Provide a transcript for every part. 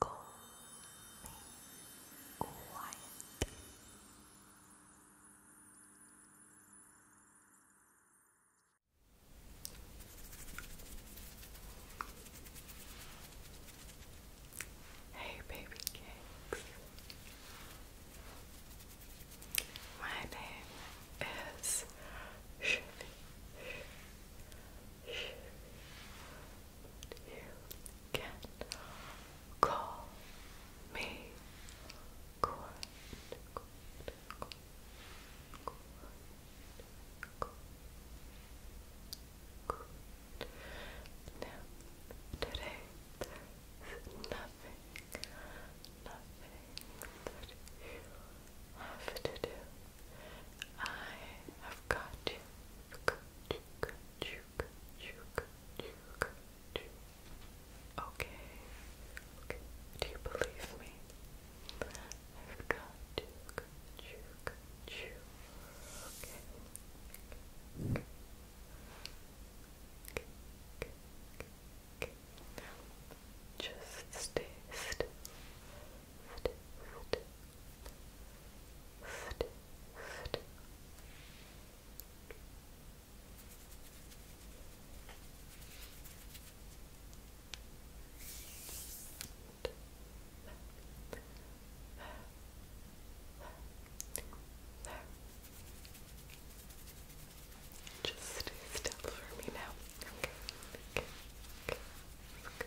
calmly, quietly. Hey, baby cakes. My name is Chevy. You can call me Court. Court, Court, Court, Court. Good. Now, today there's nothing, nothing that you have to do. I have got you Okay. Do you believe me? just stay still. Just stay still for me now. Okay. Okay. Okay.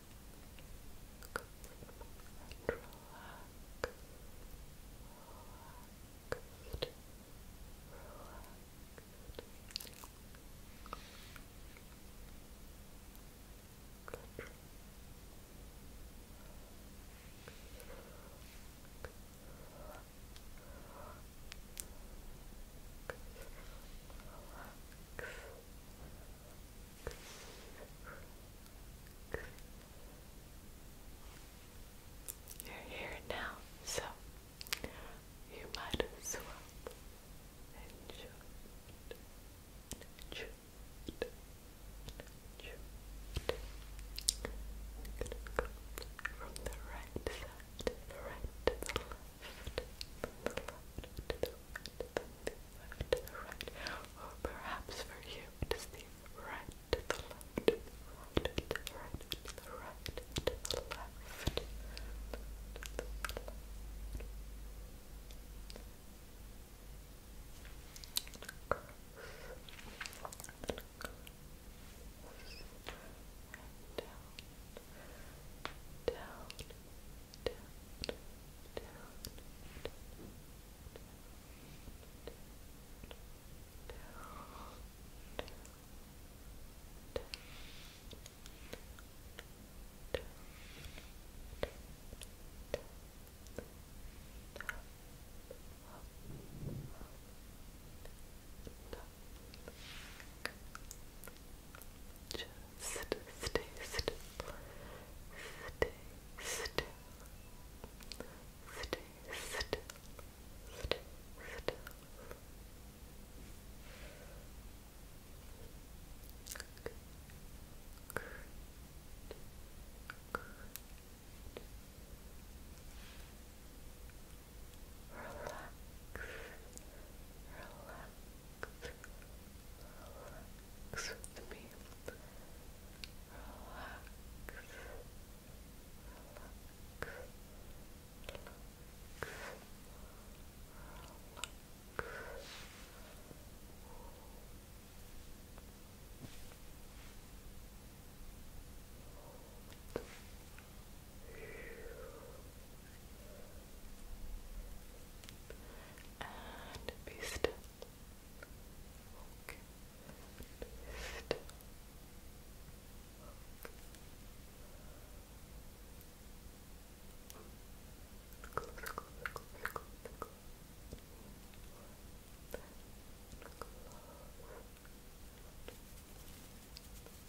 relaxed, relaxed. Relax. You're here now, so you might as well enjoy it. Enjoy Enjoy from the right side right to the left, the left to the left to the right, or perhaps for you it is the right to the left, the right to the right, to the right to the left. down, down, down, down, down, down, down, down, just St stay still. Stay still. Stay still. Stay still. Good. Good. relax, relax, Relax with me. Relax. Relax. Relax. Relax. Hold you and be still. Okay. Be still. Okay. Close, close, close, close, close. Close.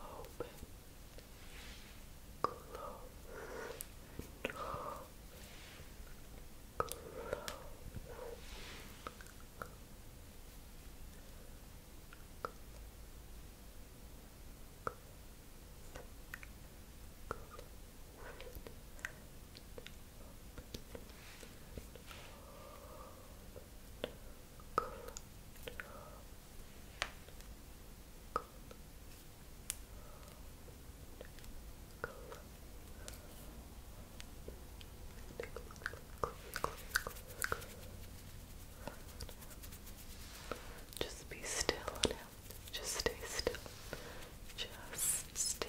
Open. Close. Close. Close. Close. Just be still on Just stay still. Just stay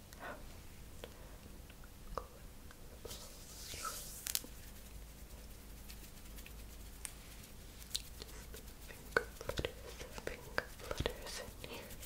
finger flutters, finger flutters in here. Finger, finger, finger, finger flutters.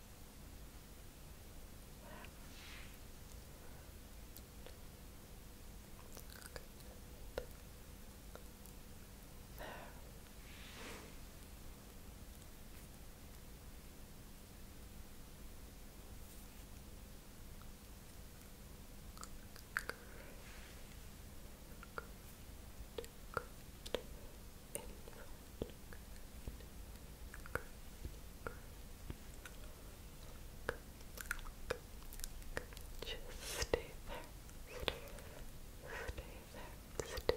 There. Good in front. Just stay there. Stay there. Stay there. Stay there.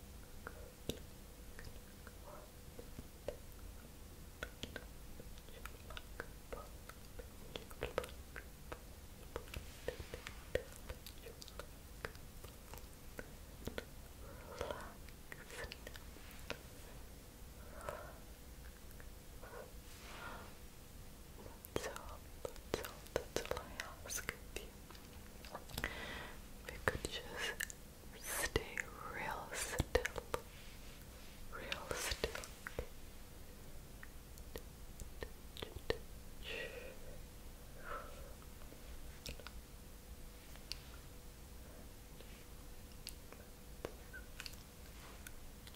That's all, that's all I ask of you we could just stay real still, real still.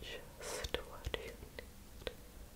Just what you need.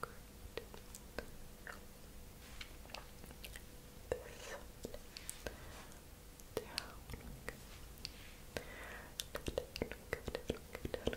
Great. This one. Down. Good. Good, good, good, good. Good.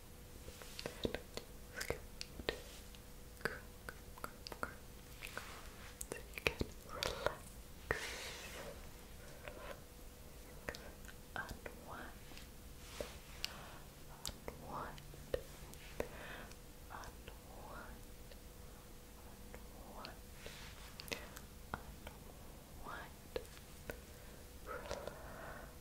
So you can relax,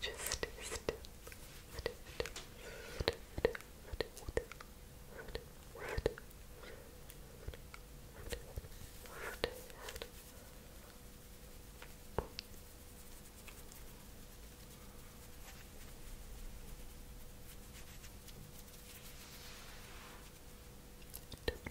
Just stay still. Stay still. Stay still. Stay still. Stay still. Stay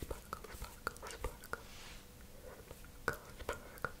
Sparkle, sparkle, sparkle. Sparkle, sparkle, sparkle. Sparkle,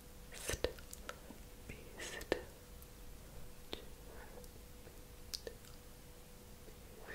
still, be still. What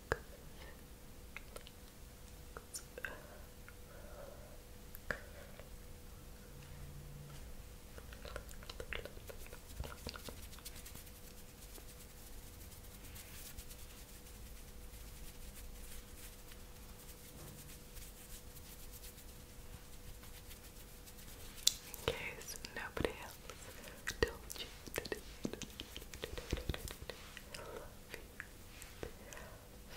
In case nobody else told you love you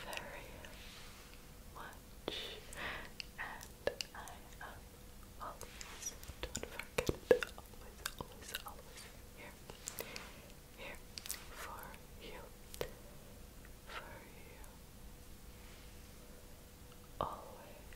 very much, and I am always, do always, always, always here, here for you, for you, always.